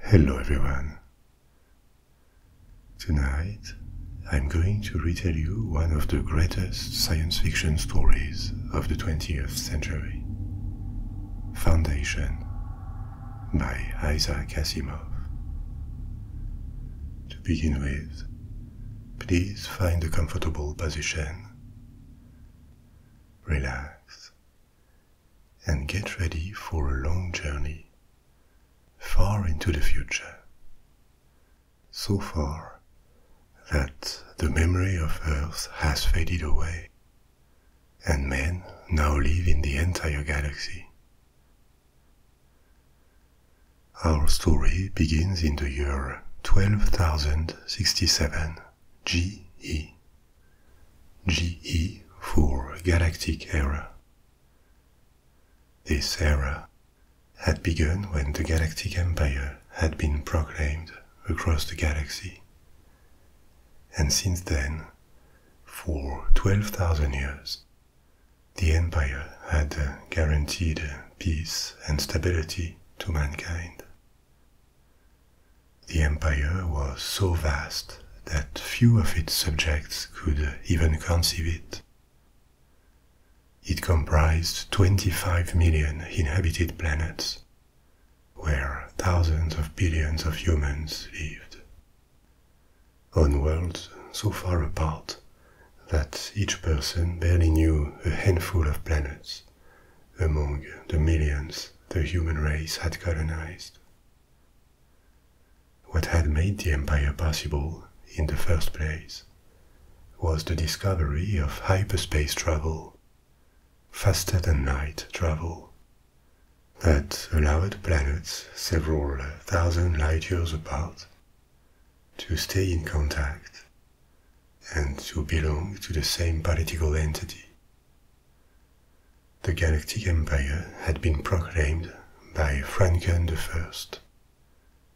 Hello, everyone. Tonight, I'm going to retell you one of the greatest science fiction stories of the 20th century Foundation by Isaac Asimov. To begin with, please find a comfortable position. Relax and get ready for a long journey far into the future. So far that the memory of Earth has faded away, and men now live in the entire galaxy. Our story begins in the year 12,067 GE. GE for Galactic Era. This era had begun when the Galactic Empire had been proclaimed across the galaxy. And since then, for 12,000 years, the Empire had guaranteed peace and stability to mankind. The empire was so vast that few of its subjects could even conceive it. It comprised 25 million inhabited planets, where thousands of billions of humans lived. On worlds so far apart that each person barely knew a handful of planets among the millions the human race had colonized. What had made the empire possible in the first place was the discovery of hyperspace travel, faster than light travel, that allowed planets several thousand light years apart to stay in contact and to belong to the same political entity. The Galactic Empire had been proclaimed by Franken First,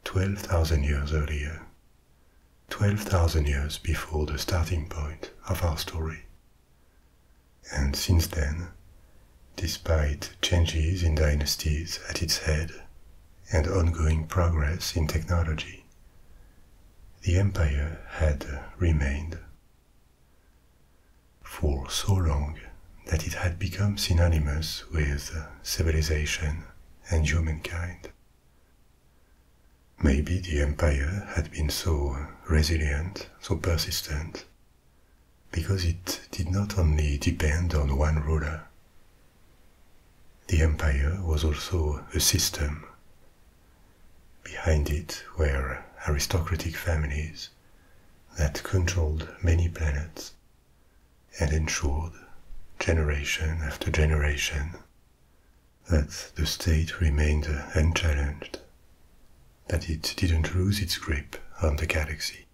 12,000 years earlier, 12,000 years before the starting point of our story. And since then, despite changes in dynasties at its head and ongoing progress in technology, the empire had remained for so long that it had become synonymous with civilization and humankind. Maybe the empire had been so resilient, so persistent, because it did not only depend on one ruler. The empire was also a system Behind it were aristocratic families that controlled many planets and ensured, generation after generation, that the state remained unchallenged, that it didn't lose its grip on the galaxy.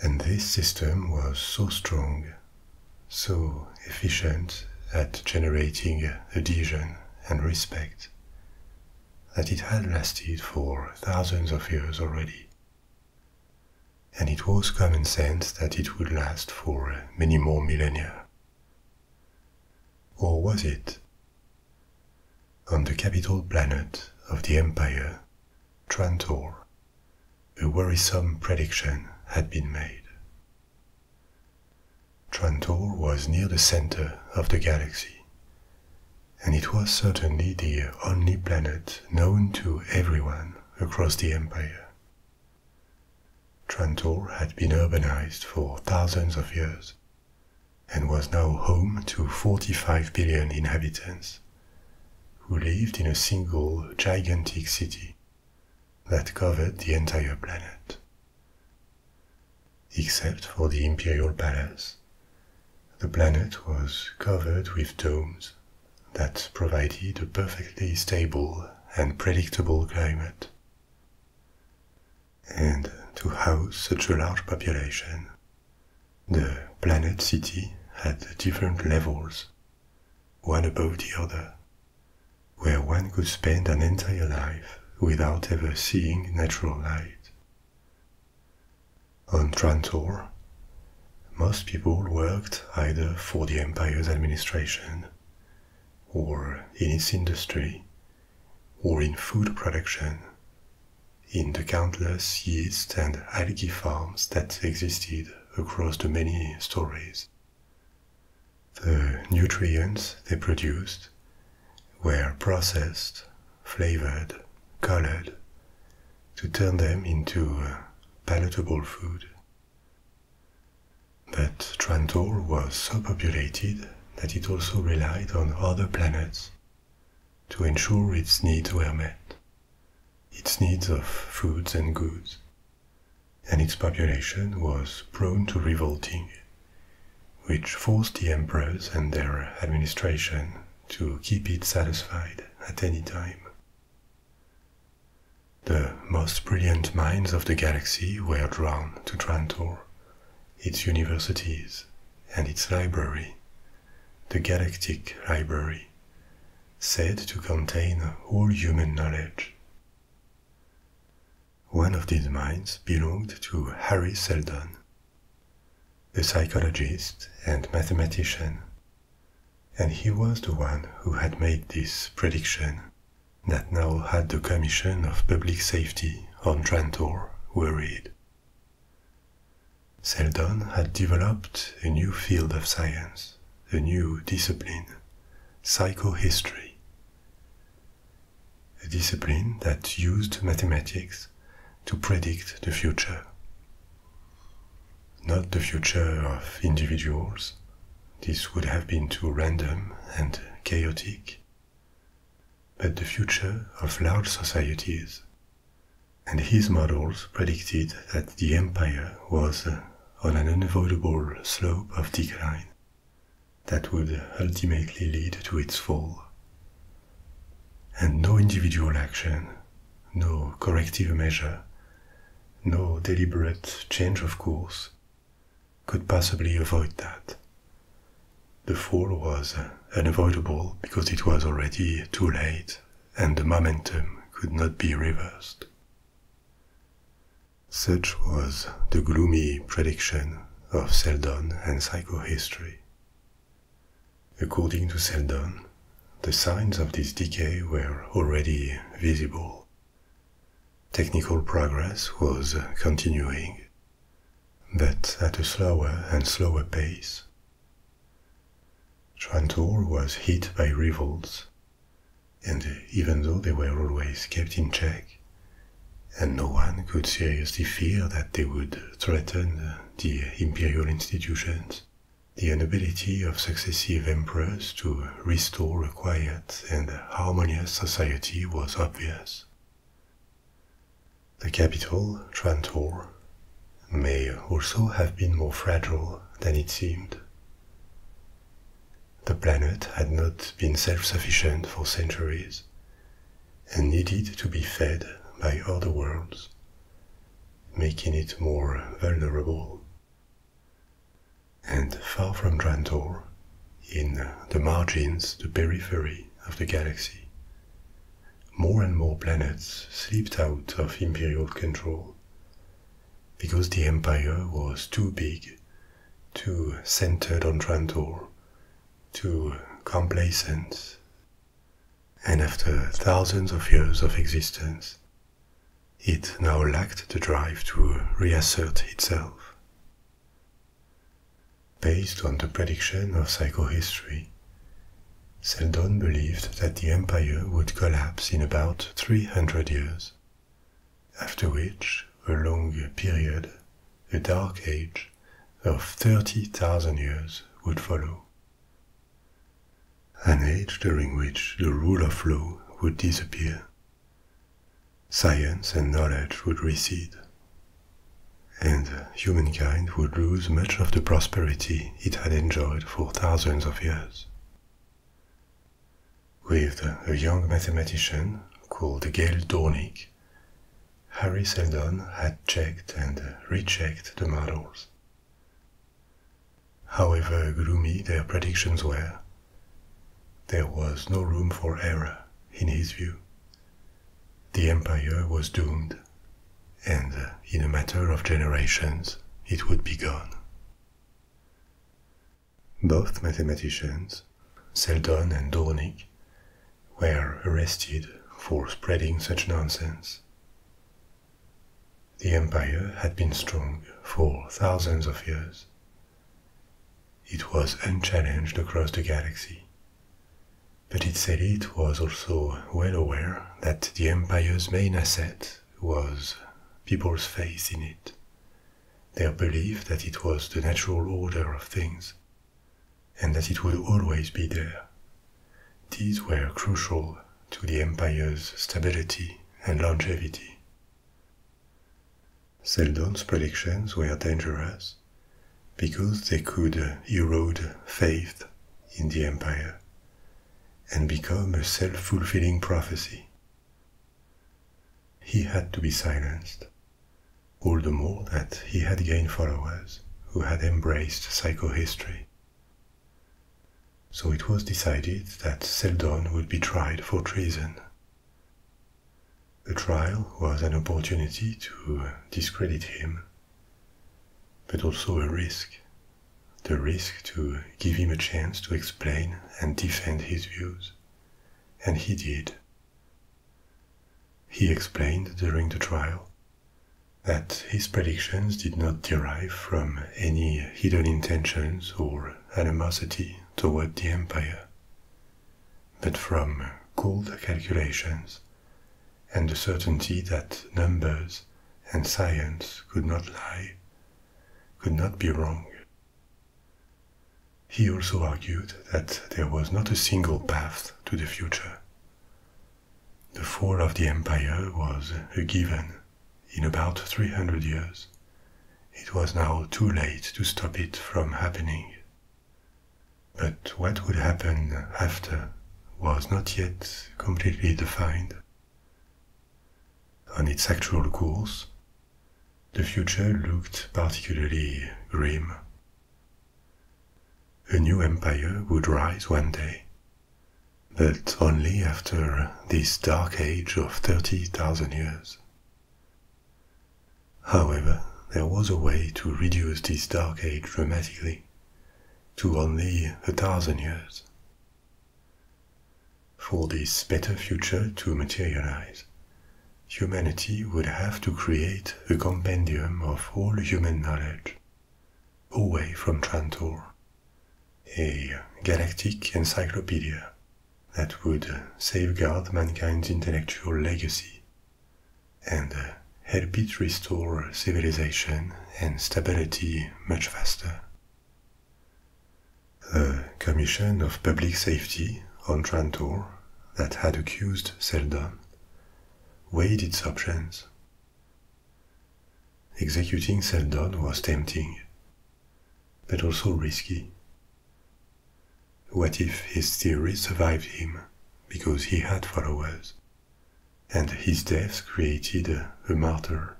And this system was so strong, so efficient at generating adhesion and respect that it had lasted for thousands of years already. And it was common sense that it would last for many more millennia. Or was it? On the capital planet of the empire, Trantor, a worrisome prediction had been made. Trantor was near the center of the galaxy, and it was certainly the only planet known to everyone across the empire. Trantor had been urbanized for thousands of years and was now home to 45 billion inhabitants who lived in a single gigantic city that covered the entire planet. Except for the imperial palace, the planet was covered with domes that provided a perfectly stable and predictable climate. And to house such a large population, the planet city had different levels, one above the other, where one could spend an entire life without ever seeing natural light. On Trantor, most people worked either for the empire's administration, or in its industry, or in food production, in the countless yeast and algae farms that existed across the many stories. The nutrients they produced were processed, flavored, colored to turn them into uh, palatable food. But Trantor was so populated that it also relied on other planets to ensure its needs were met, its needs of foods and goods and its population was prone to revolting, which forced the emperors and their administration to keep it satisfied at any time. The most brilliant minds of the galaxy were drawn to Trantor, its universities, and its library, the Galactic Library, said to contain all human knowledge. One of these minds belonged to Harry Seldon, a psychologist and mathematician, and he was the one who had made this prediction that now had the Commission of Public Safety on Trantor worried. Seldon had developed a new field of science, a new discipline, psychohistory a discipline that used mathematics to predict the future. Not the future of individuals, this would have been too random and chaotic, but the future of large societies. And his models predicted that the empire was on an unavoidable slope of decline that would ultimately lead to its fall. And no individual action, no corrective measure, no deliberate change of course could possibly avoid that. The fall was unavoidable because it was already too late and the momentum could not be reversed. Such was the gloomy prediction of Seldon and psychohistory. According to Seldon, the signs of this decay were already visible. Technical progress was continuing, but at a slower and slower pace. Trantor was hit by revolts, and even though they were always kept in check, and no one could seriously fear that they would threaten the imperial institutions, the ability of successive emperors to restore a quiet and harmonious society was obvious. The capital, Trantor, may also have been more fragile than it seemed. The planet had not been self sufficient for centuries and needed to be fed by other worlds, making it more vulnerable. And far from Drantor, in the margins, the periphery of the galaxy, more and more planets slipped out of imperial control because the empire was too big too centered on Trantor, too complacent. And after thousands of years of existence, it now lacked the drive to reassert itself. Based on the prediction of psychohistory, Seldon believed that the empire would collapse in about 300 years after which, a long period, a dark age, of 30,000 years would follow. An age during which the rule of law would disappear. Science and knowledge would recede. And humankind would lose much of the prosperity it had enjoyed for thousands of years. With a young mathematician called Gail Dornick, Harry Seldon had checked and rechecked the models. However gloomy their predictions were, there was no room for error, in his view. The empire was doomed, and in a matter of generations it would be gone. Both mathematicians, Seldon and Dornick, were arrested for spreading such nonsense. The empire had been strong for thousands of years. It was unchallenged across the galaxy. But its elite was also well aware that the empire's main asset was people's faith in it, their belief that it was the natural order of things, and that it would always be there. These were crucial to the empire's stability and longevity. Seldon's predictions were dangerous because they could erode faith in the empire and become a self fulfilling prophecy. He had to be silenced, all the more that he had gained followers who had embraced psychohistory. So it was decided that Seldon would be tried for treason. The trial was an opportunity to discredit him, but also a risk the risk to give him a chance to explain and defend his views. And he did. He explained during the trial that his predictions did not derive from any hidden intentions or animosity toward the empire, but from cold calculations and the certainty that numbers and science could not lie, could not be wrong. He also argued that there was not a single path to the future. The fall of the empire was a given in about 300 years. It was now too late to stop it from happening. But what would happen after was not yet completely defined. On its actual course, the future looked particularly grim. A new empire would rise one day, but only after this dark age of 30,000 years. However, there was a way to reduce this dark age dramatically to only a thousand years. For this better future to materialize, humanity would have to create a compendium of all human knowledge, away from Trantor, a galactic encyclopedia that would safeguard mankind's intellectual legacy and help it restore civilization and stability much faster. The Commission of Public Safety on Trantor that had accused Selda weighed its options. Executing Seldon was tempting, but also risky. What if his theory survived him because he had followers, and his death created a martyr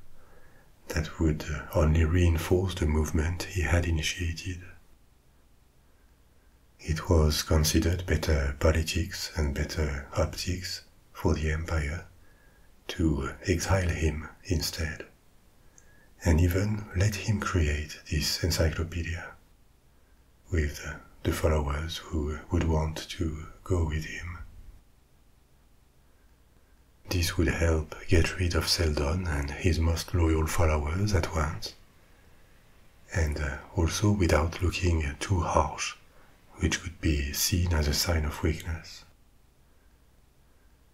that would only reinforce the movement he had initiated? It was considered better politics and better optics for the empire to exile him instead, and even let him create this encyclopedia with the followers who would want to go with him. This would help get rid of Seldon and his most loyal followers at once, and uh, also without looking too harsh, which could be seen as a sign of weakness.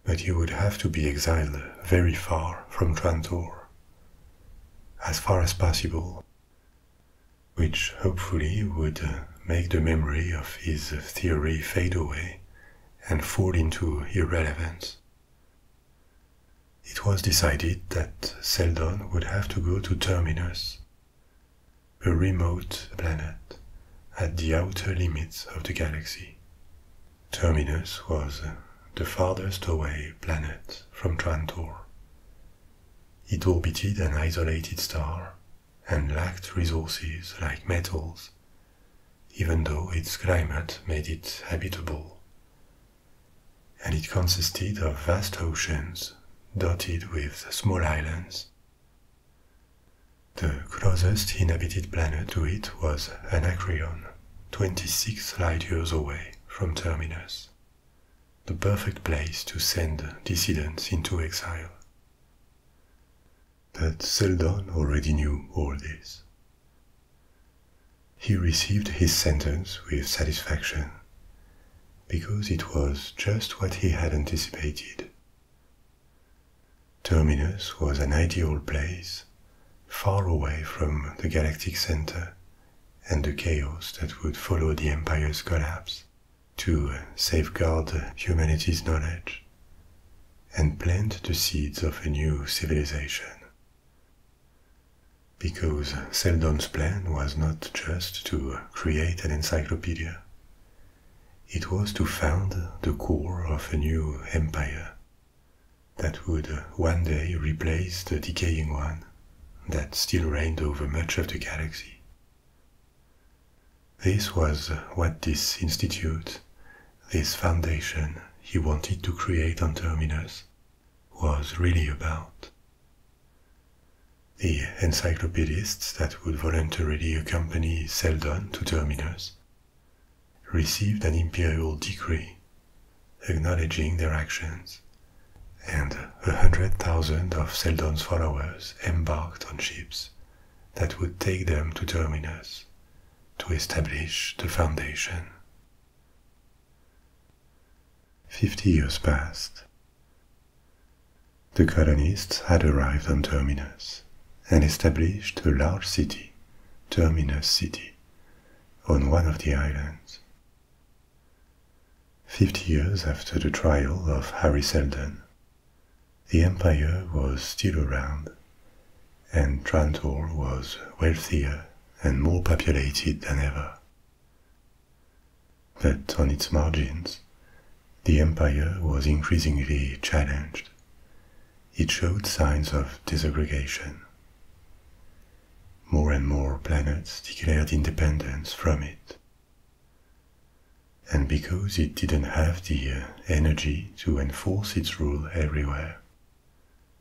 But he would have to be exiled very far from Trantor, as far as possible, which hopefully would uh, make the memory of his theory fade away and fall into irrelevance it was decided that Seldon would have to go to Terminus, a remote planet at the outer limits of the galaxy. Terminus was the farthest away planet from Trantor. It orbited an isolated star and lacked resources like metals, even though its climate made it habitable and it consisted of vast oceans dotted with small islands. The closest inhabited planet to it was Anacreon, 26 light years away from Terminus, the perfect place to send dissidents into exile. But Seldon already knew all this. He received his sentence with satisfaction, because it was just what he had anticipated. Terminus was an ideal place, far away from the galactic center and the chaos that would follow the empire's collapse, to safeguard humanity's knowledge and plant the seeds of a new civilization. Because Seldon's plan was not just to create an encyclopedia, it was to found the core of a new empire that would one day replace the decaying one that still reigned over much of the galaxy. This was what this institute, this foundation, he wanted to create on Terminus was really about. The encyclopedists that would voluntarily accompany Seldon to Terminus received an imperial decree acknowledging their actions, and a hundred thousand of Seldon's followers embarked on ships that would take them to Terminus to establish the foundation. Fifty years passed. The colonists had arrived on Terminus and established a large city, Terminus City, on one of the islands. Fifty years after the trial of Harry Selden, the empire was still around, and Trantor was wealthier and more populated than ever. But on its margins, the empire was increasingly challenged. It showed signs of disintegration. More and more planets declared independence from it. And because it didn't have the energy to enforce its rule everywhere,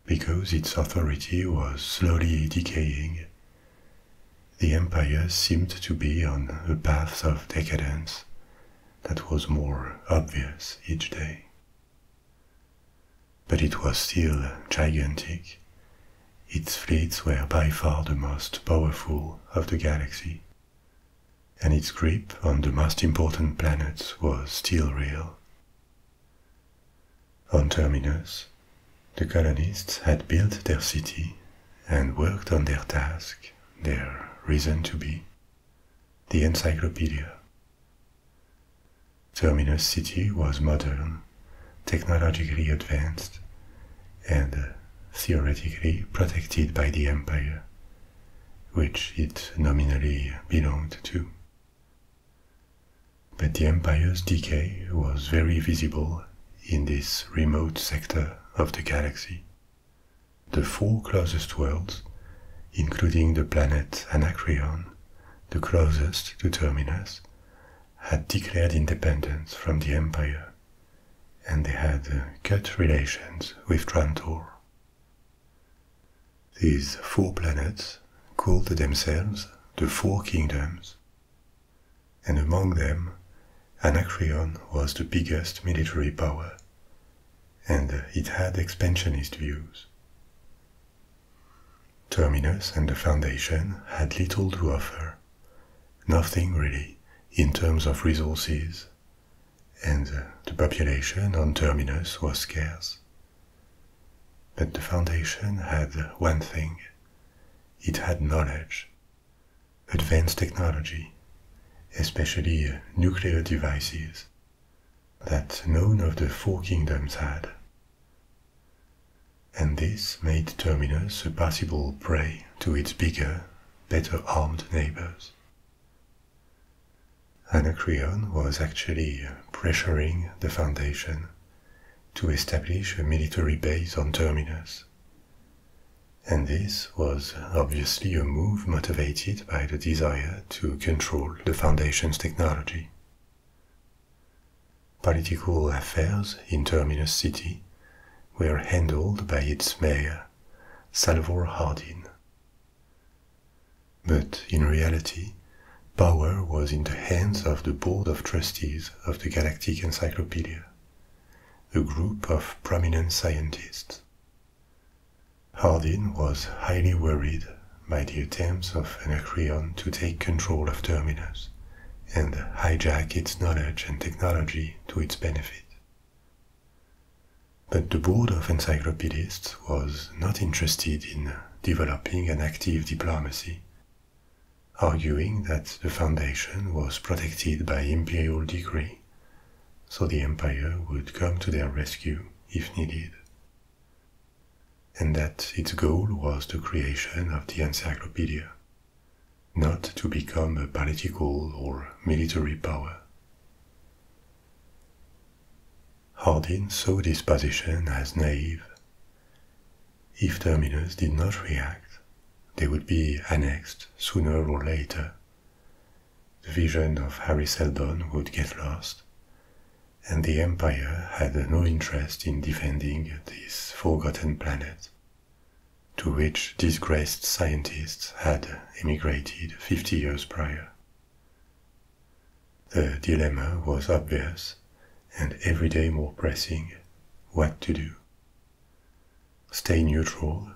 because its authority was slowly decaying, the empire seemed to be on a path of decadence that was more obvious each day. But it was still gigantic. Its fleets were by far the most powerful of the galaxy, and its grip on the most important planets was still real. On Terminus, the colonists had built their city and worked on their task, their reason to be, the encyclopedia. Terminus City was modern, technologically advanced, and theoretically protected by the empire, which it nominally belonged to. But the empire's decay was very visible in this remote sector of the galaxy. The four closest worlds, including the planet Anacreon, the closest to Terminus, had declared independence from the empire, and they had cut relations with Trantor. These four planets called themselves the Four Kingdoms, and among them Anacreon was the biggest military power, and it had expansionist views. Terminus and the Foundation had little to offer, nothing really in terms of resources, and the population on Terminus was scarce. But the foundation had one thing it had knowledge, advanced technology, especially nuclear devices, that none of the four kingdoms had. And this made Terminus a possible prey to its bigger, better armed neighbors. Anacreon was actually pressuring the foundation to establish a military base on Terminus. And this was obviously a move motivated by the desire to control the foundation's technology. Political affairs in Terminus City were handled by its mayor, Salvor Hardin. But in reality, power was in the hands of the Board of Trustees of the Galactic Encyclopedia, a group of prominent scientists. Hardin was highly worried by the attempts of Anacreon to take control of Terminus and hijack its knowledge and technology to its benefit. But the board of encyclopedists was not interested in developing an active diplomacy, arguing that the foundation was protected by imperial decree, so the empire would come to their rescue if needed, and that its goal was the creation of the encyclopedia, not to become a political or military power. Hardin saw this position as naive. If Terminus did not react, they would be annexed sooner or later. The vision of Harry Seldon would get lost, and the empire had no interest in defending this forgotten planet, to which disgraced scientists had emigrated 50 years prior. The dilemma was obvious, and every day more pressing what to do. Stay neutral,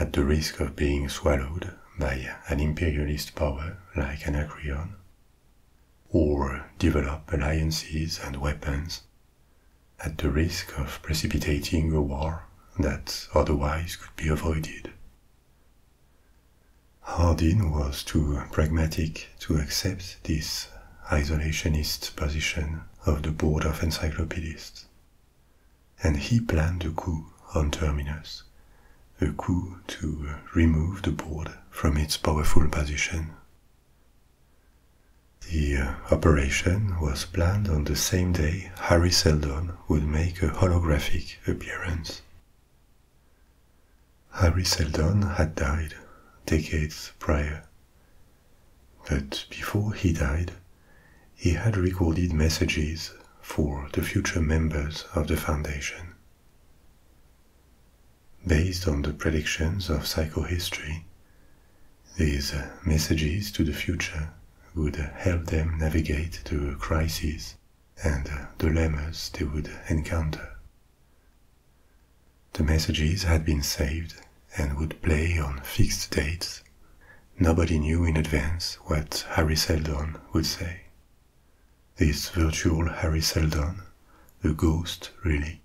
at the risk of being swallowed by an imperialist power like Anacreon, or develop alliances and weapons at the risk of precipitating a war that otherwise could be avoided. Hardin was too pragmatic to accept this isolationist position of the Board of Encyclopedists. And he planned a coup on Terminus, a coup to remove the board from its powerful position. The uh, operation was planned on the same day Harry Seldon would make a holographic appearance Harry Seldon had died decades prior. But before he died, he had recorded messages for the future members of the Foundation. Based on the predictions of psychohistory, these messages to the future would help them navigate the crises and dilemmas they would encounter. The messages had been saved and would play on fixed dates. Nobody knew in advance what Harry Seldon would say. This virtual Harry Seldon, a ghost really,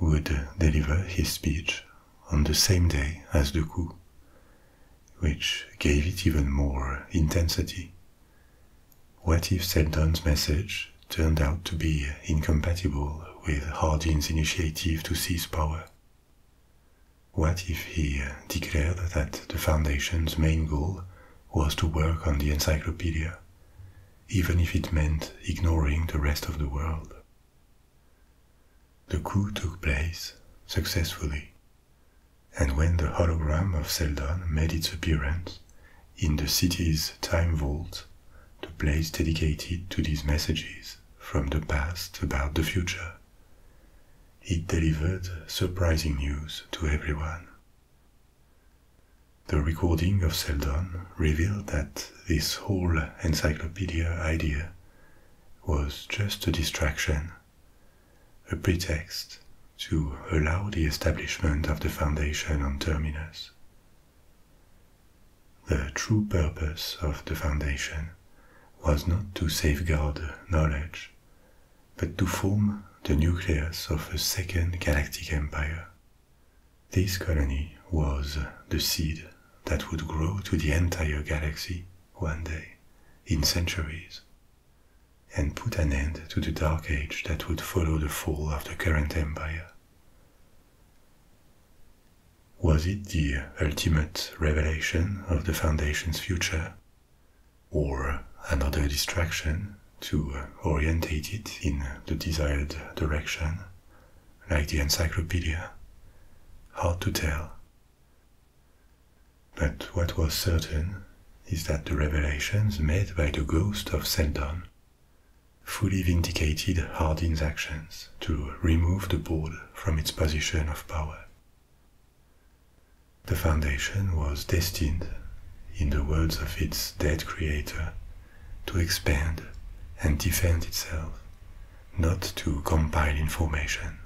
would deliver his speech on the same day as the coup, which gave it even more intensity what if Seldon's message turned out to be incompatible with Hardin's initiative to seize power? What if he declared that the Foundation's main goal was to work on the encyclopedia, even if it meant ignoring the rest of the world? The coup took place successfully, and when the hologram of Seldon made its appearance, in the city's time vault, the place dedicated to these messages from the past about the future. It delivered surprising news to everyone. The recording of Seldon revealed that this whole encyclopedia idea was just a distraction, a pretext to allow the establishment of the foundation on Terminus. The true purpose of the foundation was not to safeguard knowledge, but to form the nucleus of a second galactic empire. This colony was the seed that would grow to the entire galaxy one day, in centuries and put an end to the Dark Age that would follow the fall of the current empire. Was it the ultimate revelation of the Foundation's future, or another distraction to orientate it in the desired direction, like the encyclopedia? Hard to tell. But what was certain is that the revelations made by the ghost of Seldon fully vindicated Hardin's actions to remove the board from its position of power. The foundation was destined, in the words of its dead creator, to expand and defend itself, not to compile information.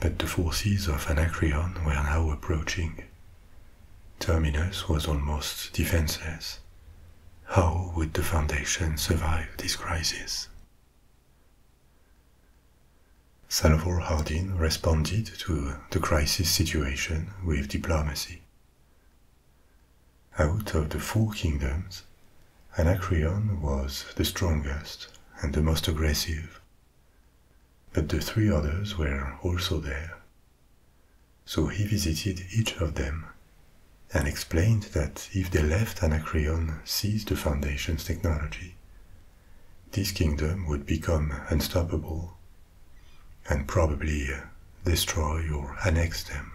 But the forces of Anacreon were now approaching, Terminus was almost defenseless. How would the Foundation survive this crisis? Salvor Hardin responded to the crisis situation with diplomacy. Out of the four kingdoms, Anacreon was the strongest and the most aggressive but the three others were also there. So he visited each of them and explained that if they left Anacreon seized the Foundation's technology, this kingdom would become unstoppable and probably uh, destroy or annex them.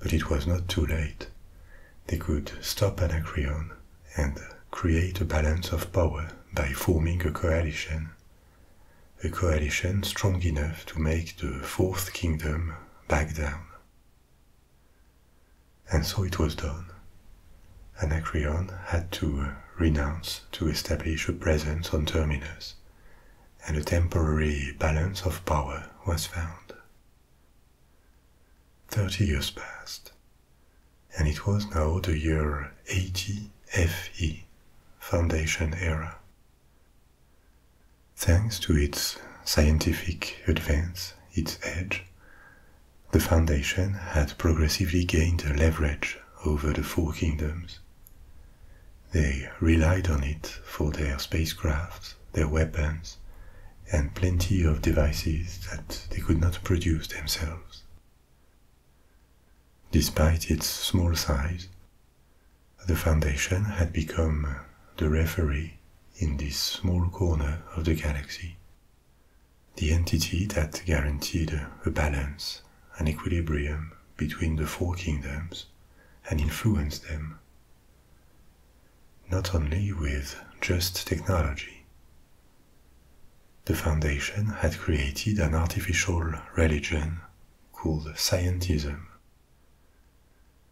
But it was not too late. They could stop Anacreon and create a balance of power by forming a coalition. A coalition strong enough to make the Fourth Kingdom back down. And so it was done. Anacreon had to renounce to establish a presence on Terminus, and a temporary balance of power was found. Thirty years passed, and it was now the year 80 FE, Foundation Era. Thanks to its scientific advance, its edge, the Foundation had progressively gained a leverage over the Four Kingdoms. They relied on it for their spacecraft, their weapons, and plenty of devices that they could not produce themselves. Despite its small size, the Foundation had become the referee in this small corner of the galaxy, the entity that guaranteed a balance, an equilibrium between the four kingdoms, and influenced them not only with just technology, the foundation had created an artificial religion called scientism.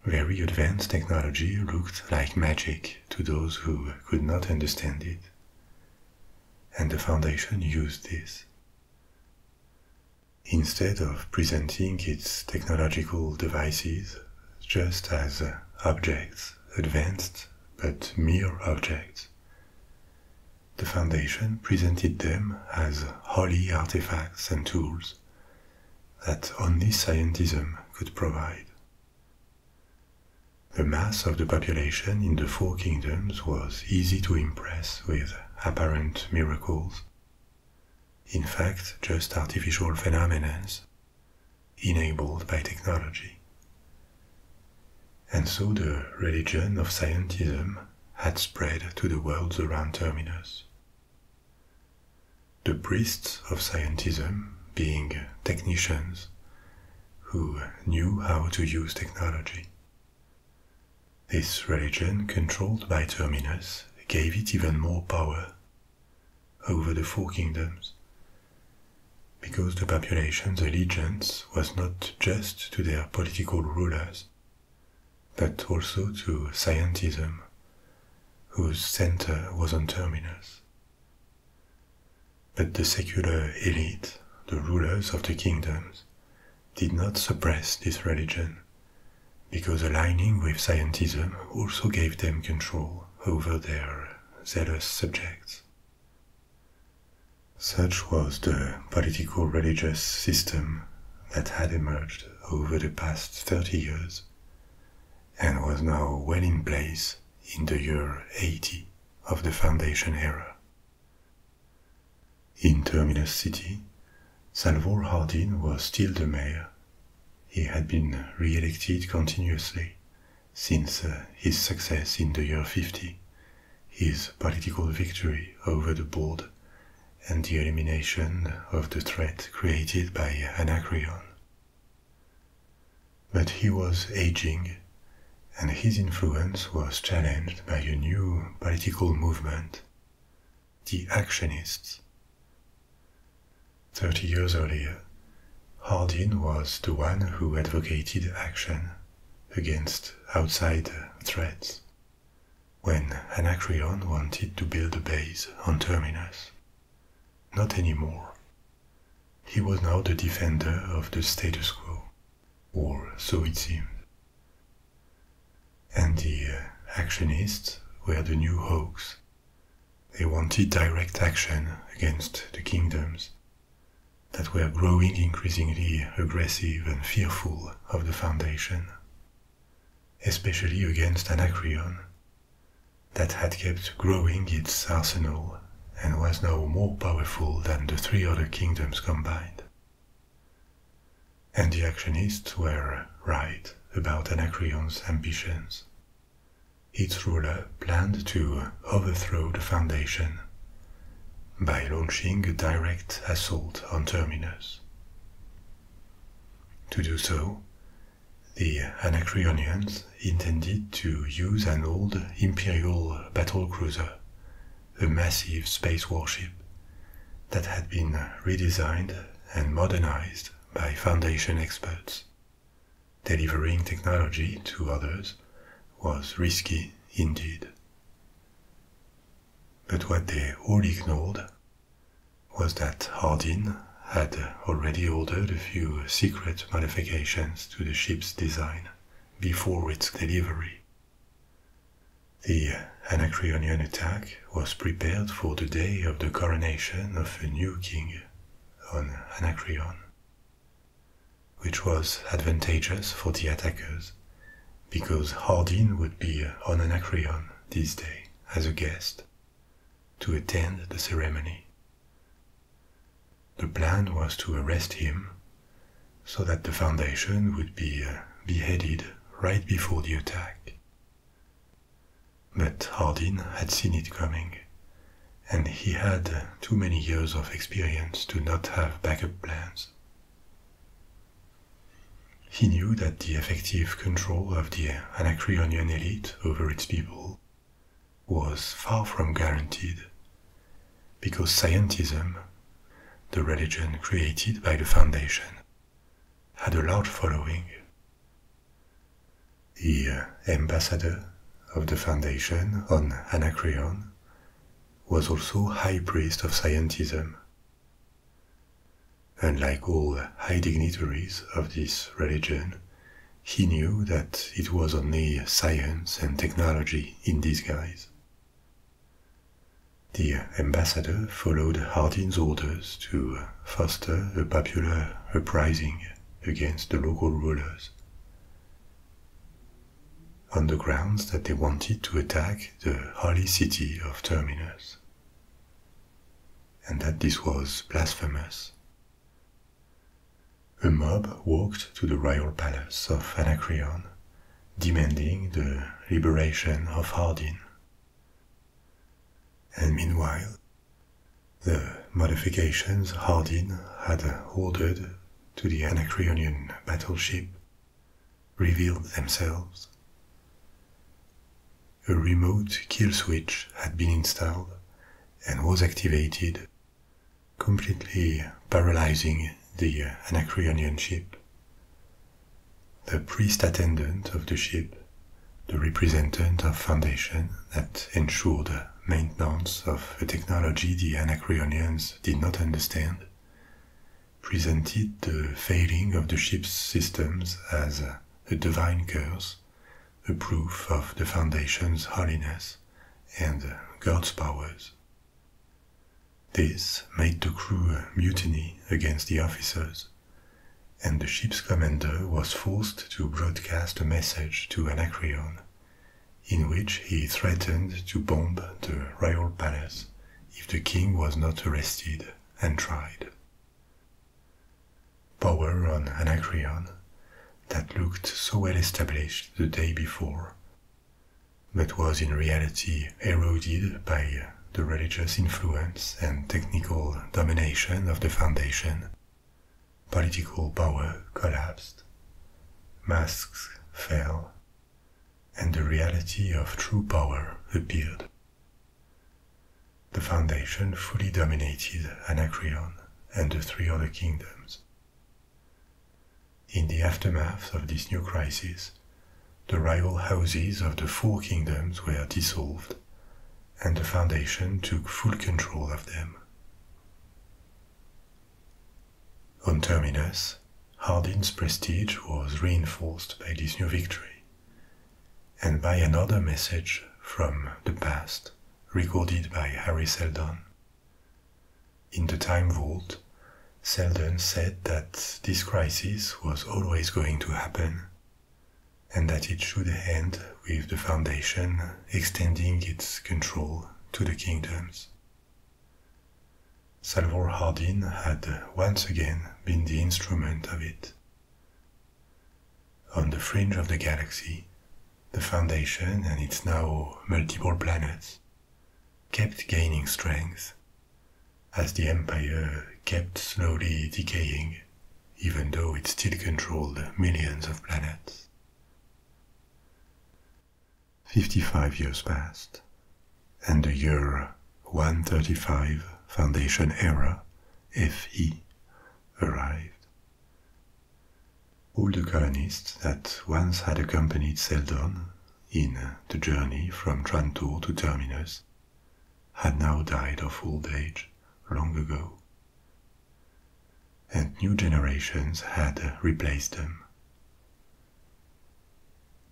Very advanced technology looked like magic to those who could not understand it, and the foundation used this. Instead of presenting its technological devices just as objects, advanced but mere objects, the Foundation presented them as holy artifacts and tools that only scientism could provide. The mass of the population in the four kingdoms was easy to impress with apparent miracles. In fact, just artificial phenomena enabled by technology. And so the religion of scientism had spread to the worlds around Terminus. The priests of scientism being technicians who knew how to use technology. This religion, controlled by Terminus, gave it even more power over the four kingdoms because the population's allegiance was not just to their political rulers, but also to scientism, whose center was on Terminus. But the secular elite, the rulers of the kingdoms, did not suppress this religion, because aligning with scientism also gave them control over their zealous subjects. Such was the political religious system that had emerged over the past 30 years and was now well in place in the year 80 of the Foundation era. In Terminus City, Salvor Hardin was still the mayor. He had been re elected continuously since uh, his success in the year 50, his political victory over the board, and the elimination of the threat created by Anacreon. But he was aging, and his influence was challenged by a new political movement, the Actionists. Thirty years earlier, Hardin was the one who advocated action against outsider threats. When Anacreon wanted to build a base on Terminus, not anymore. He was now the defender of the status quo, or so it seemed. And the uh, actionists were the new hawks. They wanted direct action against the kingdoms that were growing increasingly aggressive and fearful of the Foundation, especially against Anacreon, that had kept growing its arsenal and was now more powerful than the three other kingdoms combined. And the actionists were right about Anacreon's ambitions. Its ruler planned to overthrow the foundation by launching a direct assault on Terminus. To do so, the Anacreonians intended to use an old imperial battle cruiser, a massive space warship that had been redesigned and modernized by foundation experts. Delivering technology to others was risky indeed. But what they all ignored was that Hardin had already ordered a few secret modifications to the ship's design before its delivery. The Anacreonian attack was prepared for the day of the coronation of a new king on Anacreon which was advantageous for the attackers because Hardin would be on Anacreon this day as a guest to attend the ceremony. The plan was to arrest him so that the foundation would be uh, beheaded right before the attack. But Hardin had seen it coming, and he had uh, too many years of experience to not have backup plans. He knew that the effective control of the Anacreonian elite over its people was far from guaranteed, because scientism, the religion created by the Foundation, had a large following. The uh, ambassador of the Foundation on Anacreon was also high priest of scientism. And like all high dignitaries of this religion, he knew that it was only science and technology in disguise. The ambassador followed Hardin's orders to foster a popular uprising against the local rulers on the grounds that they wanted to attack the holy city of Terminus, and that this was blasphemous. A mob walked to the royal palace of Anacreon, demanding the liberation of Hardin. And meanwhile, the modifications Hardin had ordered to the Anacreonian battleship revealed themselves. A remote kill switch had been installed and was activated, completely paralyzing the Anacreonian ship. The priest attendant of the ship, the representative of Foundation that ensured the maintenance of a technology the Anacreonians did not understand, presented the failing of the ship's systems as a divine curse, a proof of the foundation's holiness and God's powers. This made the crew mutiny against the officers, and the ship's commander was forced to broadcast a message to Anacreon in which he threatened to bomb the royal palace if the king was not arrested and tried. Power on Anacreon that looked so well established the day before, but was in reality eroded by the religious influence and technical domination of the foundation, political power collapsed, masks fell, and the reality of true power appeared. The foundation fully dominated Anacreon and the three other kingdoms. In the aftermath of this new crisis, the rival houses of the four kingdoms were dissolved, and the foundation took full control of them. On Terminus, Hardin's prestige was reinforced by this new victory, and by another message from the past recorded by Harry Seldon. In the Time Vault, Seldon said that this crisis was always going to happen, and that it should end with the Foundation extending its control to the kingdoms. Salvor Hardin had once again been the instrument of it. On the fringe of the galaxy, the Foundation and its now multiple planets kept gaining strength as the empire kept slowly decaying, even though it still controlled millions of planets. 55 years passed, and the year 135 Foundation Era, FE, arrived. All the colonists that once had accompanied Seldon in the journey from Trantor to Terminus had now died of old age long ago, and new generations had replaced them.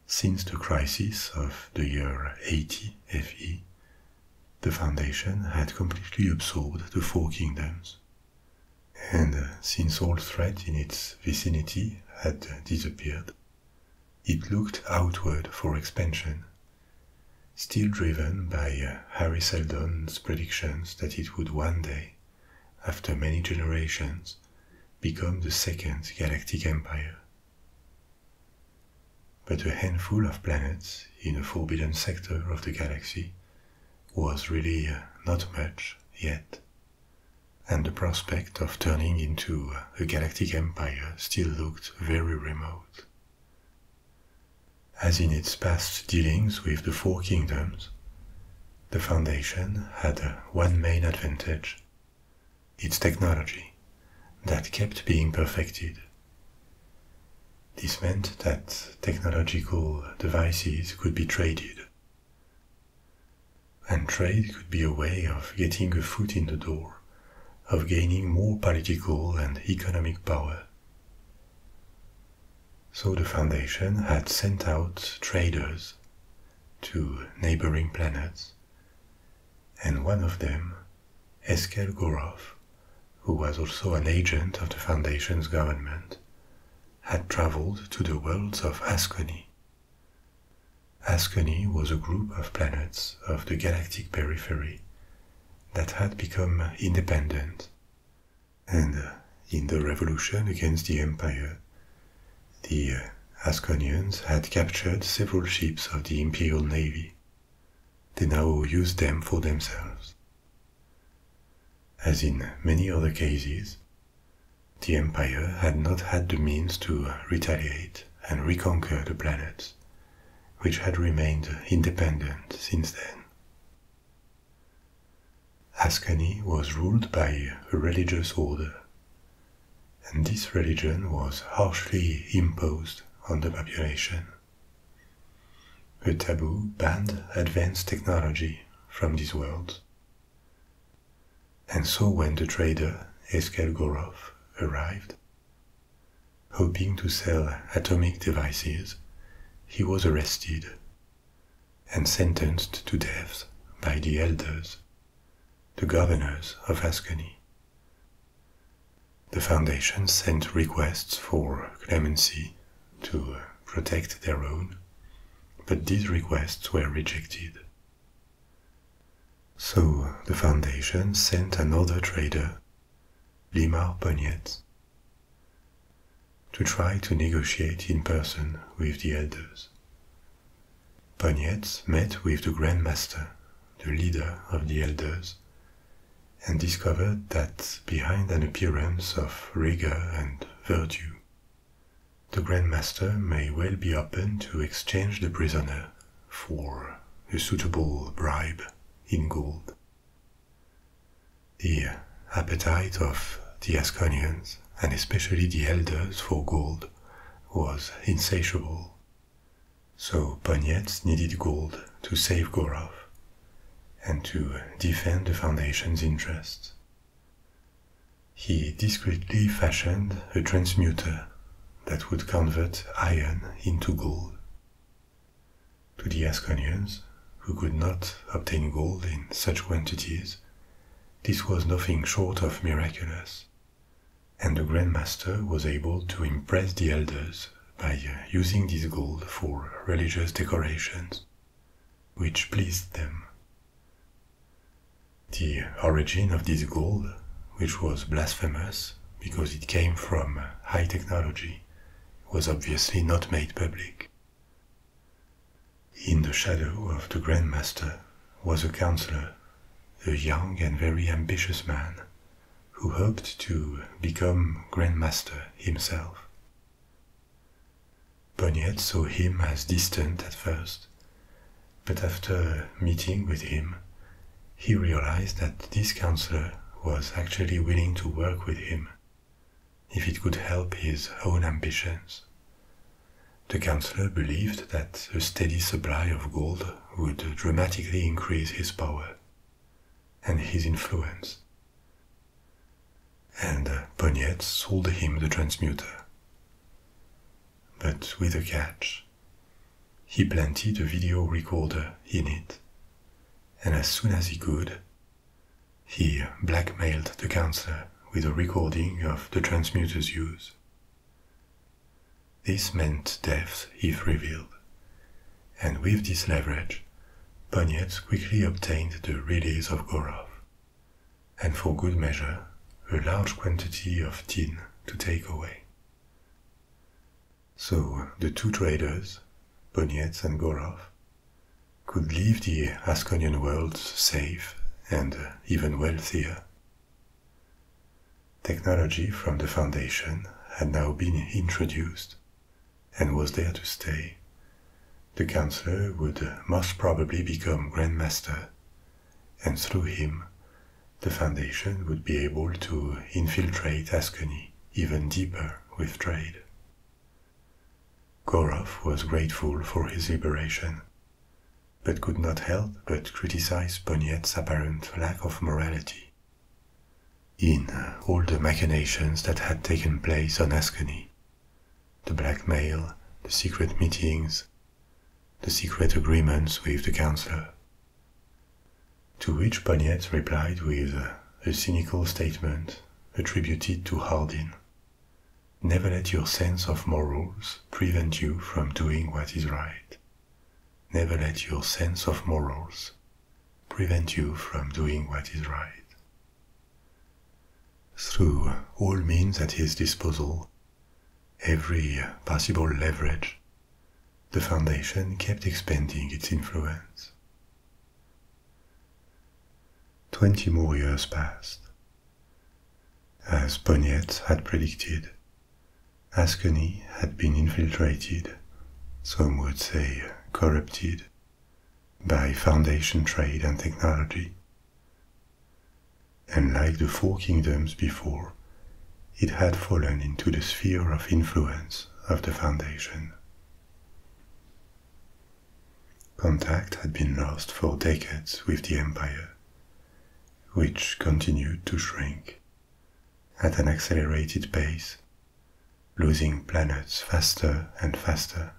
Since the crisis of the year 80 FE, the Foundation had completely absorbed the four kingdoms. And uh, since all threat in its vicinity had disappeared, it looked outward for expansion, still driven by uh, Harry Seldon's predictions that it would one day after many generations, become the second galactic empire. But a handful of planets in a forbidden sector of the galaxy was really uh, not much yet, and the prospect of turning into uh, a galactic empire still looked very remote. As in its past dealings with the Four Kingdoms, the foundation had one main advantage its technology, that kept being perfected. This meant that technological devices could be traded. And trade could be a way of getting a foot in the door, of gaining more political and economic power. So the foundation had sent out traders, to neighboring planets. And one of them, Eskel Gorov, who was also an agent of the Foundation's government, had traveled to the worlds of Asconi. Asconi was a group of planets of the galactic periphery that had become independent. And in the revolution against the Empire, the uh, Asconians had captured several ships of the Imperial Navy. They now used them for themselves. As in many other cases, the empire had not had the means to retaliate and reconquer the planet, which had remained independent since then. Ascani was ruled by a religious order, and this religion was harshly imposed on the population. A taboo banned advanced technology from this world, And so when the trader Eskel Gorov arrived, hoping to sell atomic devices, he was arrested and sentenced to death by the elders, the governors of Ascony. The foundation sent requests for clemency to protect their own, but these requests were rejected. So the foundation sent another trader, Limar Pognet, to try to negotiate in person with the elders. Poniet met with the Grand Master, the leader of the elders, and discovered that behind an appearance of rigor and virtue, the Grand Master may well be open to exchange the prisoner for a suitable bribe in gold. The appetite of the Asconians and especially the elders for gold, was insatiable. So Ponyet needed gold to save Gorov and to defend the Foundation's interests. He discreetly fashioned a transmuter that would convert iron into gold. To the Asconians, who could not obtain gold in such quantities, this was nothing short of miraculous. And the Grand Master was able to impress the elders by uh, using this gold for religious decorations, which pleased them. The origin of this gold, which was blasphemous because it came from uh, high technology, was obviously not made public. In the shadow of the grandmaster was a counselor, a young and very ambitious man, who hoped to become grandmaster himself. Pognet saw him as distant at first, but after meeting with him, he realized that this counselor was actually willing to work with him if it could help his own ambitions. The councillor believed that a steady supply of gold would dramatically increase his power and his influence. And uh, Pognet sold him the transmuter. But with a catch. He planted a video recorder in it, and as soon as he could, he blackmailed the councillor with a recording of the transmuter's use. This meant death if revealed, and with this leverage, Ponyet quickly obtained the release of Gorov, and for good measure, a large quantity of tin to take away. So the two traders, Bonietz and Gorov, could leave the Ascanian world safe and uh, even wealthier. Technology from the foundation had now been introduced and was there to stay. The counselor would most probably become Grand Master, and through him, the foundation would be able to infiltrate Ascony even deeper with trade. Gorov was grateful for his liberation but could not help but criticize Bonnet's apparent lack of morality. In uh, all the machinations that had taken place on Ascony, the blackmail, the secret meetings, the secret agreements with the councillor. To which Bonnet replied with a cynical statement attributed to Hardin Never let your sense of morals prevent you from doing what is right. Never let your sense of morals prevent you from doing what is right. Through all means at his disposal, every possible leverage, the foundation kept expanding its influence. Twenty more years passed, as Pognet had predicted, Ascony had been infiltrated, some would say corrupted, by foundation trade and technology. Unlike the four kingdoms before, it had fallen into the sphere of influence of the foundation. Contact had been lost for decades with the empire which continued to shrink at an accelerated pace, losing planets faster and faster.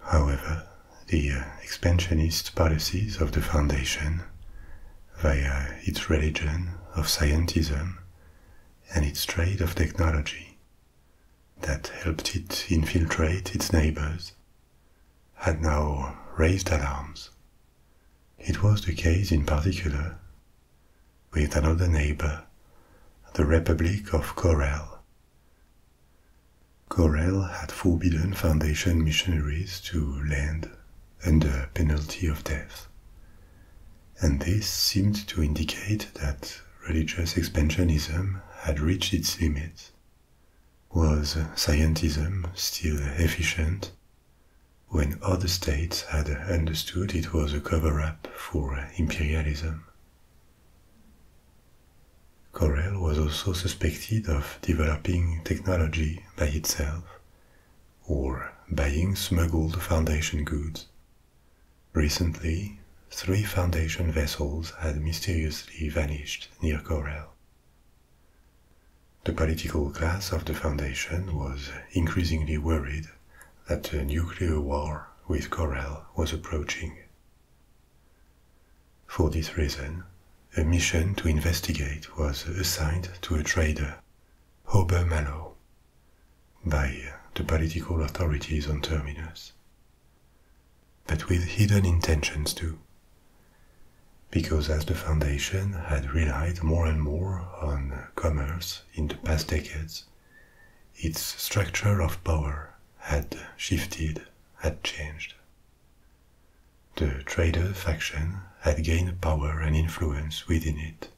However, the uh, expansionist policies of the Foundation, via its religion of scientism and its trade of technology, that helped it infiltrate its neighbors had now raised alarms. It was the case in particular with another neighbor, the Republic of Corel. Corel had forbidden Foundation missionaries to land under penalty of death. And this seemed to indicate that religious expansionism had reached its limits was scientism still efficient when other states had understood it was a cover up for imperialism? Corel was also suspected of developing technology by itself or buying smuggled foundation goods. Recently, three Foundation vessels had mysteriously vanished near Corel. The political class of the Foundation was increasingly worried that a nuclear war with Corel was approaching. For this reason, a mission to investigate was assigned to a trader, Hober by the political authorities on Terminus but with hidden intentions too. Because as the Foundation had relied more and more on commerce in the past decades, its structure of power had shifted, had changed. The trader faction had gained power and influence within it.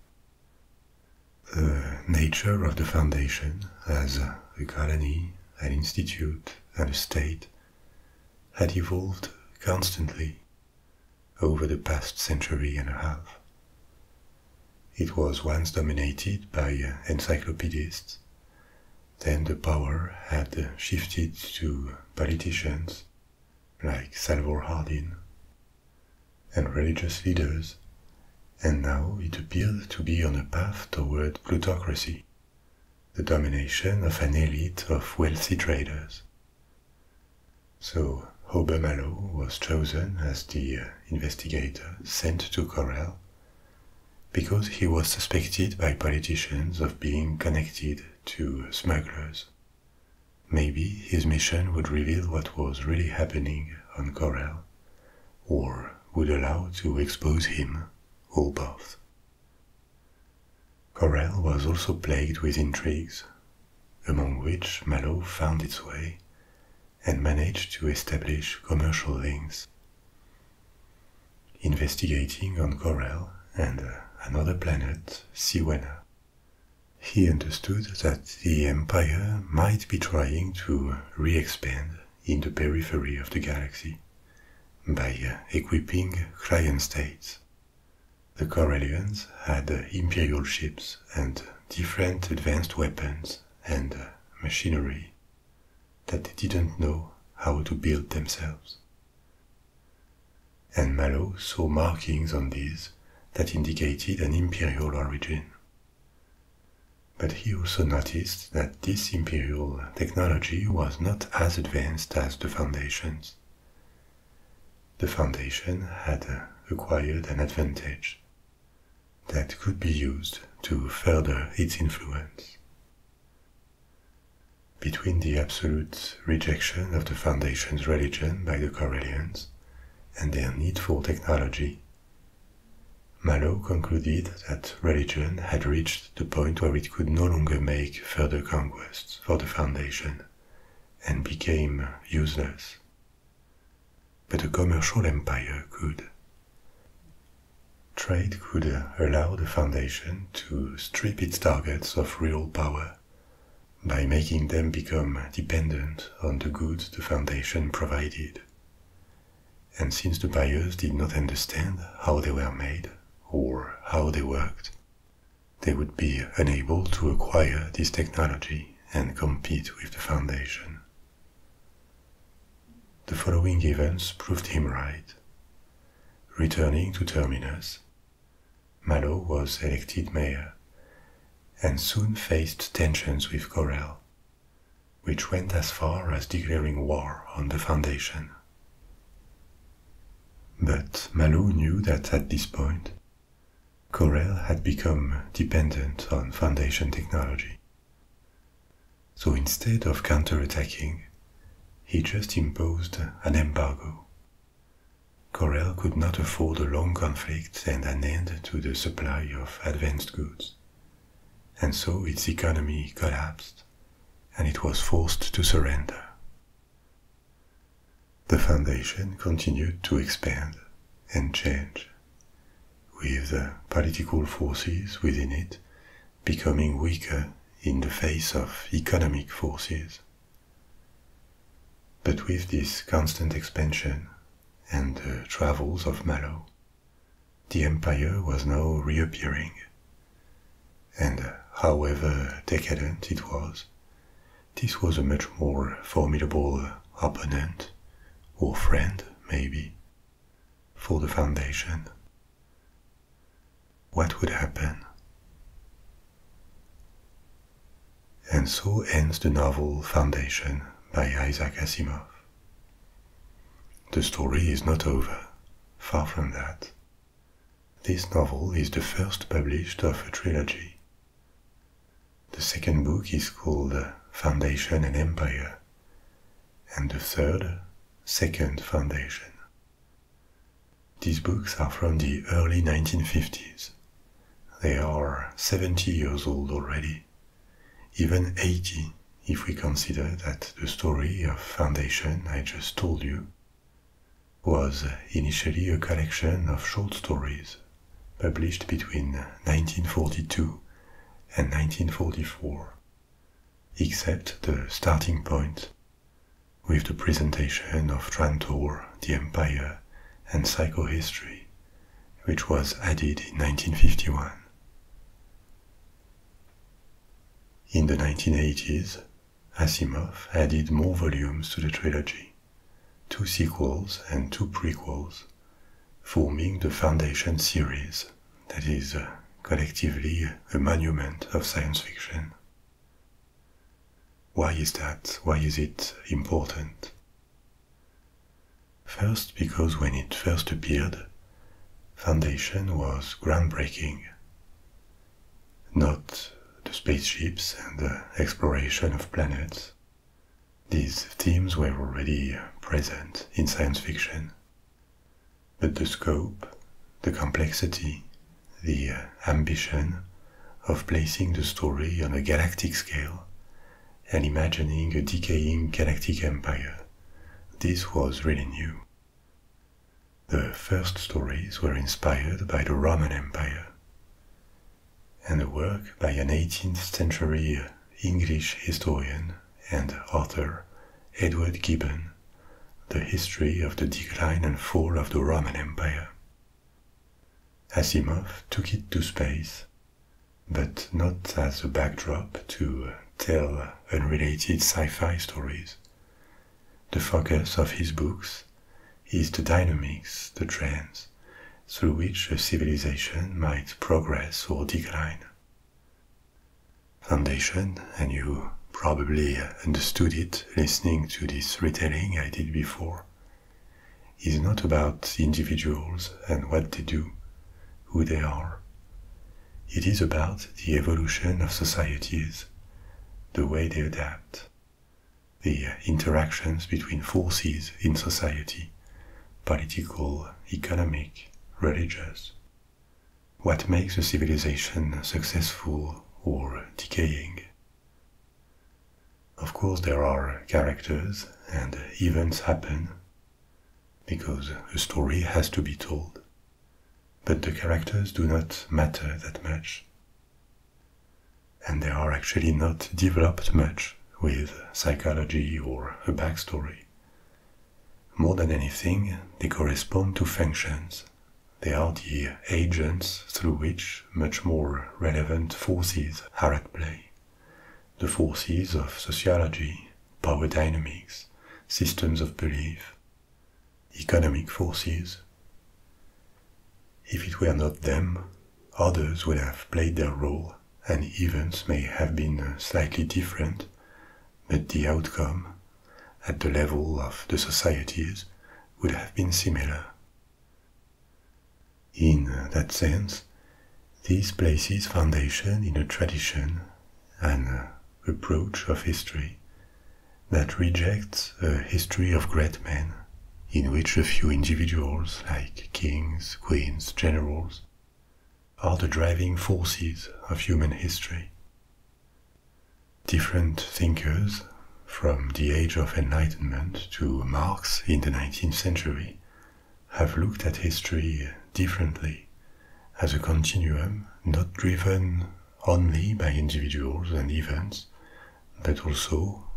The nature of the Foundation as a colony an institute, and a state had evolved constantly over the past century and a half. It was once dominated by uh, encyclopedists, then the power had uh, shifted to politicians like Salvador Hardin and religious leaders, and now it appeared to be on a path toward plutocracy the domination of an elite of wealthy traders. So Obermalo was chosen as the uh, investigator sent to Corel because he was suspected by politicians of being connected to smugglers. Maybe his mission would reveal what was really happening on Corel, or would allow to expose him, or both. Corel was also plagued with intrigues, among which Malo found its way and managed to establish commercial links. Investigating on Corel and uh, another planet, Siwena, he understood that the empire might be trying to re expand in the periphery of the galaxy by uh, equipping client states. The Corellians had uh, imperial ships and different advanced weapons and uh, machinery that they didn't know how to build themselves. And Malo saw markings on these that indicated an imperial origin. But he also noticed that this imperial technology was not as advanced as the foundations. The foundation had acquired an advantage that could be used to further its influence. Between the absolute rejection of the foundation's religion by the Karelians and their need for technology, Malo concluded that religion had reached the point where it could no longer make further conquests for the Foundation and became useless. But a commercial empire could. Trade could allow the Foundation to strip its targets of real power by making them become dependent on the goods the Foundation provided and since the buyers did not understand how they were made or how they worked, they would be unable to acquire this technology and compete with the foundation. The following events proved him right. Returning to Terminus, Mallow was elected mayor and soon faced tensions with Corel, which went as far as declaring war on the foundation. But Malo knew that at this point, Corel had become dependent on foundation technology. So instead of counter-attacking, he just imposed an embargo. Corel could not afford a long conflict and an end to the supply of advanced goods, and so its economy collapsed and it was forced to surrender. The foundation continued to expand and change, with the political forces within it becoming weaker in the face of economic forces. But with this constant expansion and the travels of Malo, the empire was now reappearing. And however decadent it was, this was a much more formidable opponent, or friend maybe, for the Foundation. What would happen? And so ends the novel Foundation by Isaac Asimov. The story is not over, far from that. This novel is the first published of a trilogy. The second book is called Foundation and Empire, and the third, Second Foundation. These books are from the early 1950s. They are 70 years old already, even 80 if we consider that the story of Foundation I just told you was initially a collection of short stories published between 1942 and 1944, except the starting point with the presentation of Trantor, the Empire, and Psychohistory, which was added in 1951. In the 1980s, Asimov added more volumes to the trilogy, two sequels and two prequels, forming the Foundation series that is uh, collectively a monument of science fiction. Why is that? Why is it important? First, because when it first appeared, Foundation was groundbreaking. Not the spaceships and the exploration of planets. These themes were already present in science fiction. But the scope, the complexity, the ambition of placing the story on a galactic scale and imagining a decaying galactic empire, this was really new. The first stories were inspired by the Roman Empire, and a work by an 18th century English historian and author, Edward Gibbon, The History of the Decline and Fall of the Roman Empire. Asimov took it to space, but not as a backdrop to tell unrelated sci fi stories the focus of his books is the dynamics, the trends, through which a civilization might progress or decline. Foundation, and you probably understood it listening to this retelling I did before, is not about individuals and what they do, who they are, it is about the evolution of societies, the way they adapt, the interactions between forces in society, political, economic, religious. What makes a civilization successful or decaying? Of course, there are characters and events happen because a story has to be told but the characters do not matter that much. And they are actually not developed much with psychology or a backstory. More than anything, they correspond to functions. They are the agents through which much more relevant forces are at play the forces of sociology, power dynamics, systems of belief, economic forces. If it were not them, others would have played their role and events may have been uh, slightly different, but the outcome, at the level of the societies, would have been similar. In uh, that sense, this places foundation in a tradition, an uh, approach of history that rejects a history of great men in which a few individuals like kings, queens, generals are the driving forces of human history. Different thinkers, from the Age of Enlightenment to Marx in the 19th century, have looked at history differently as a continuum not driven only by individuals and events, but also,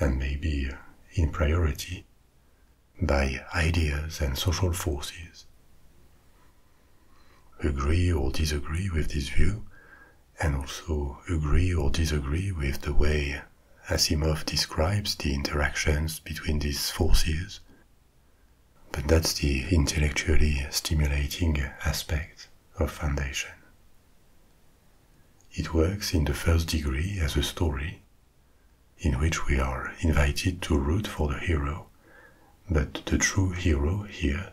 and maybe in priority, by ideas and social forces. Agree or disagree with this view, and also agree or disagree with the way Asimov describes the interactions between these forces but that's the intellectually stimulating aspect of Foundation. It works in the first degree as a story, in which we are invited to root for the hero, but the true hero here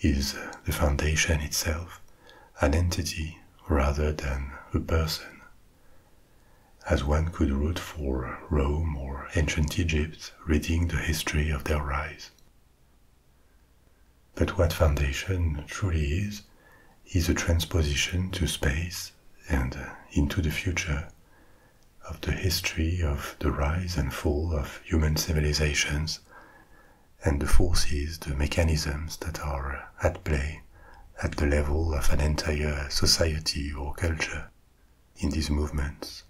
is the Foundation itself, an entity rather than a person. As one could root for Rome or ancient Egypt reading the history of their rise. But what foundation truly is, is a transposition to space and uh, into the future of the history of the rise and fall of human civilizations and the forces, the mechanisms that are at play at the level of an entire society or culture in these movements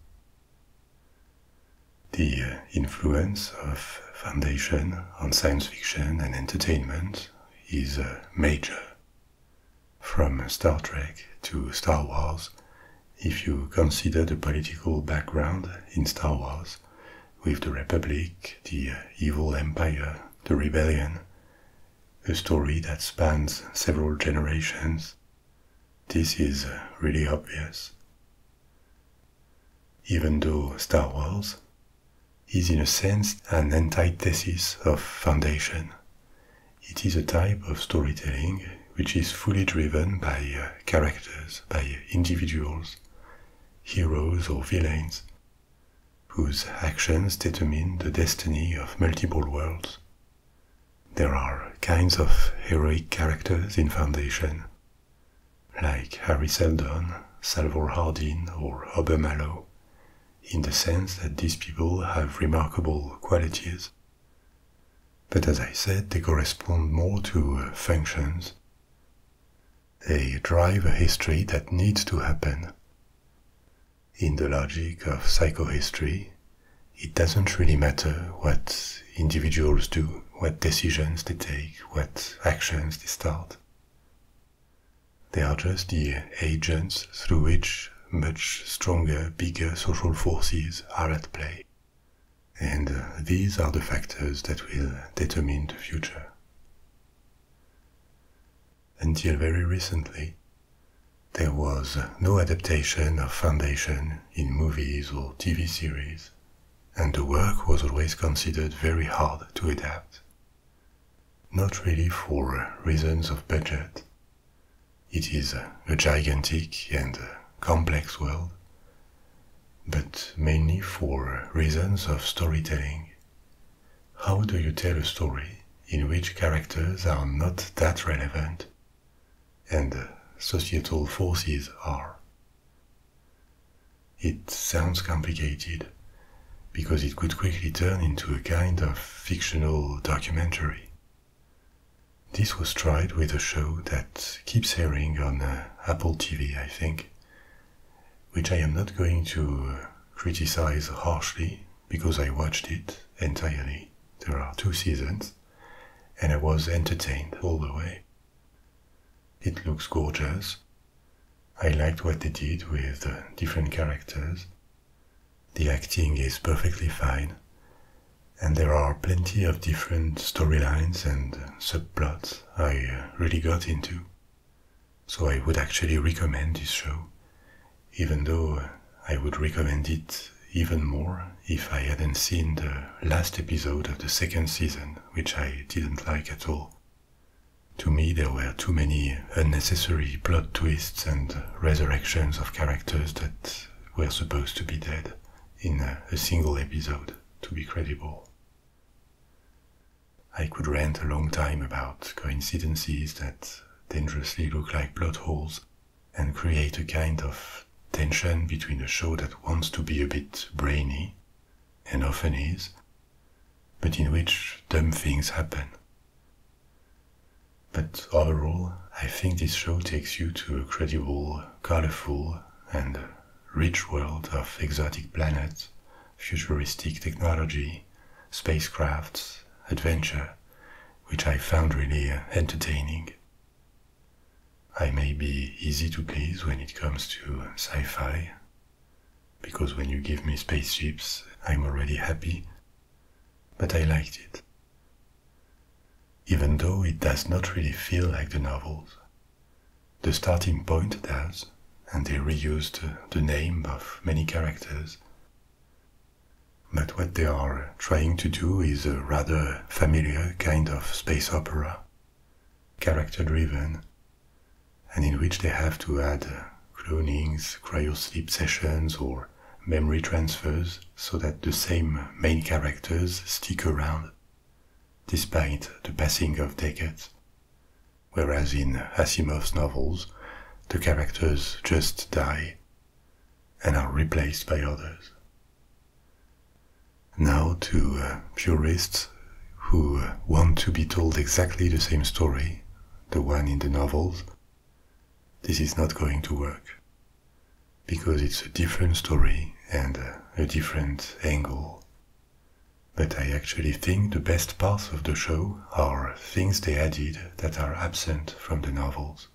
the uh, influence of Foundation on science fiction and entertainment is uh, major. From Star Trek to Star Wars, if you consider the political background in Star Wars, with the Republic, the uh, evil empire, the rebellion, a story that spans several generations this is really obvious. Even though Star Wars is in a sense an antithesis of Foundation, it is a type of storytelling which is fully driven by uh, characters, by individuals, heroes or villains, whose actions determine the destiny of multiple worlds there are kinds of heroic characters in Foundation, like Harry Seldon, Salvor Hardin, or Obermallow, in the sense that these people have remarkable qualities. But as I said, they correspond more to uh, functions. They drive a history that needs to happen. In the logic of psychohistory, it doesn't really matter what individuals do, what decisions they take, what actions they start. They are just the agents through which much stronger, bigger social forces are at play. And uh, these are the factors that will determine the future. Until very recently, there was no adaptation of foundation in movies or TV series, and the work was always considered very hard to adapt. Not really for reasons of budget. It is a gigantic and complex world, but mainly for reasons of storytelling. How do you tell a story in which characters are not that relevant and societal forces are. It sounds complicated because it could quickly turn into a kind of fictional documentary. This was tried with a show that keeps airing on uh, Apple TV, I think, which I am not going to uh, criticize harshly because I watched it entirely. There are two seasons and I was entertained all the way. It looks gorgeous. I liked what they did with the different characters. The acting is perfectly fine, and there are plenty of different storylines and subplots I uh, really got into. So I would actually recommend this show, even though uh, I would recommend it even more if I hadn't seen the last episode of the second season, which I didn't like at all. To me, there were too many unnecessary plot twists and resurrections of characters that were supposed to be dead in a single episode to be credible. I could rant a long time about coincidences that dangerously look like plot holes and create a kind of tension between a show that wants to be a bit brainy, and often is, but in which dumb things happen. But overall, I think this show takes you to a credible, colorful, and rich world of exotic planets, futuristic technology, spacecrafts, adventure, which I found really entertaining. I may be easy to please when it comes to sci fi, because when you give me spaceships, I'm already happy, but I liked it. Even though it does not really feel like the novels, the starting point does, and they reused the name of many characters. But what they are trying to do is a rather familiar kind of space opera, character driven, and in which they have to add uh, clonings, cryosleep sessions, or memory transfers so that the same main characters stick around despite the passing of decades. Whereas in Asimov's novels, the characters just die and are replaced by others. Now, to uh, purists who uh, want to be told exactly the same story, the one in the novels, this is not going to work because it's a different story and uh, a different angle. But I actually think the best parts of the show are things they added that are absent from the novels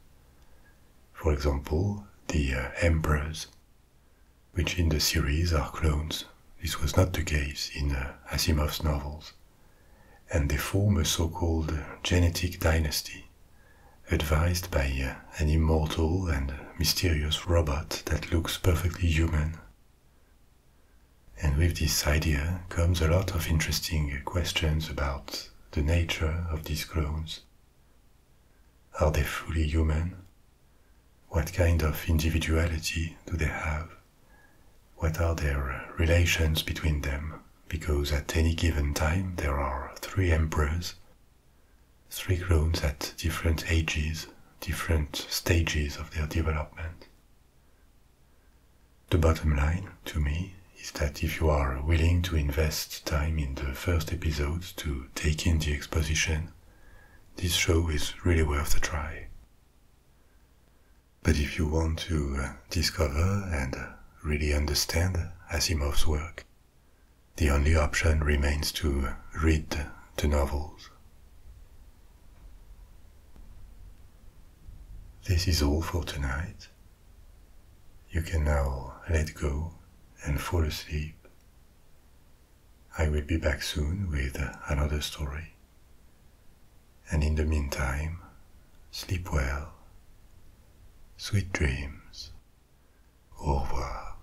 for example, the uh, emperors, which in the series are clones. This was not the case in uh, Asimov's novels, and they form a so called genetic dynasty, advised by uh, an immortal and mysterious robot that looks perfectly human. And with this idea comes a lot of interesting questions about the nature of these clones are they fully human? What kind of individuality do they have? What are their relations between them? Because at any given time there are three emperors, three clones at different ages, different stages of their development. The bottom line, to me, is that if you are willing to invest time in the first episode to to take in the exposition, this show is really worth a try. But if you want to uh, discover and uh, really understand Asimov's work, the only option remains to uh, read the novels. This is all for tonight. You can now let go and fall asleep. I will be back soon with another story. And in the meantime, sleep well. Sweet dreams. Au revoir.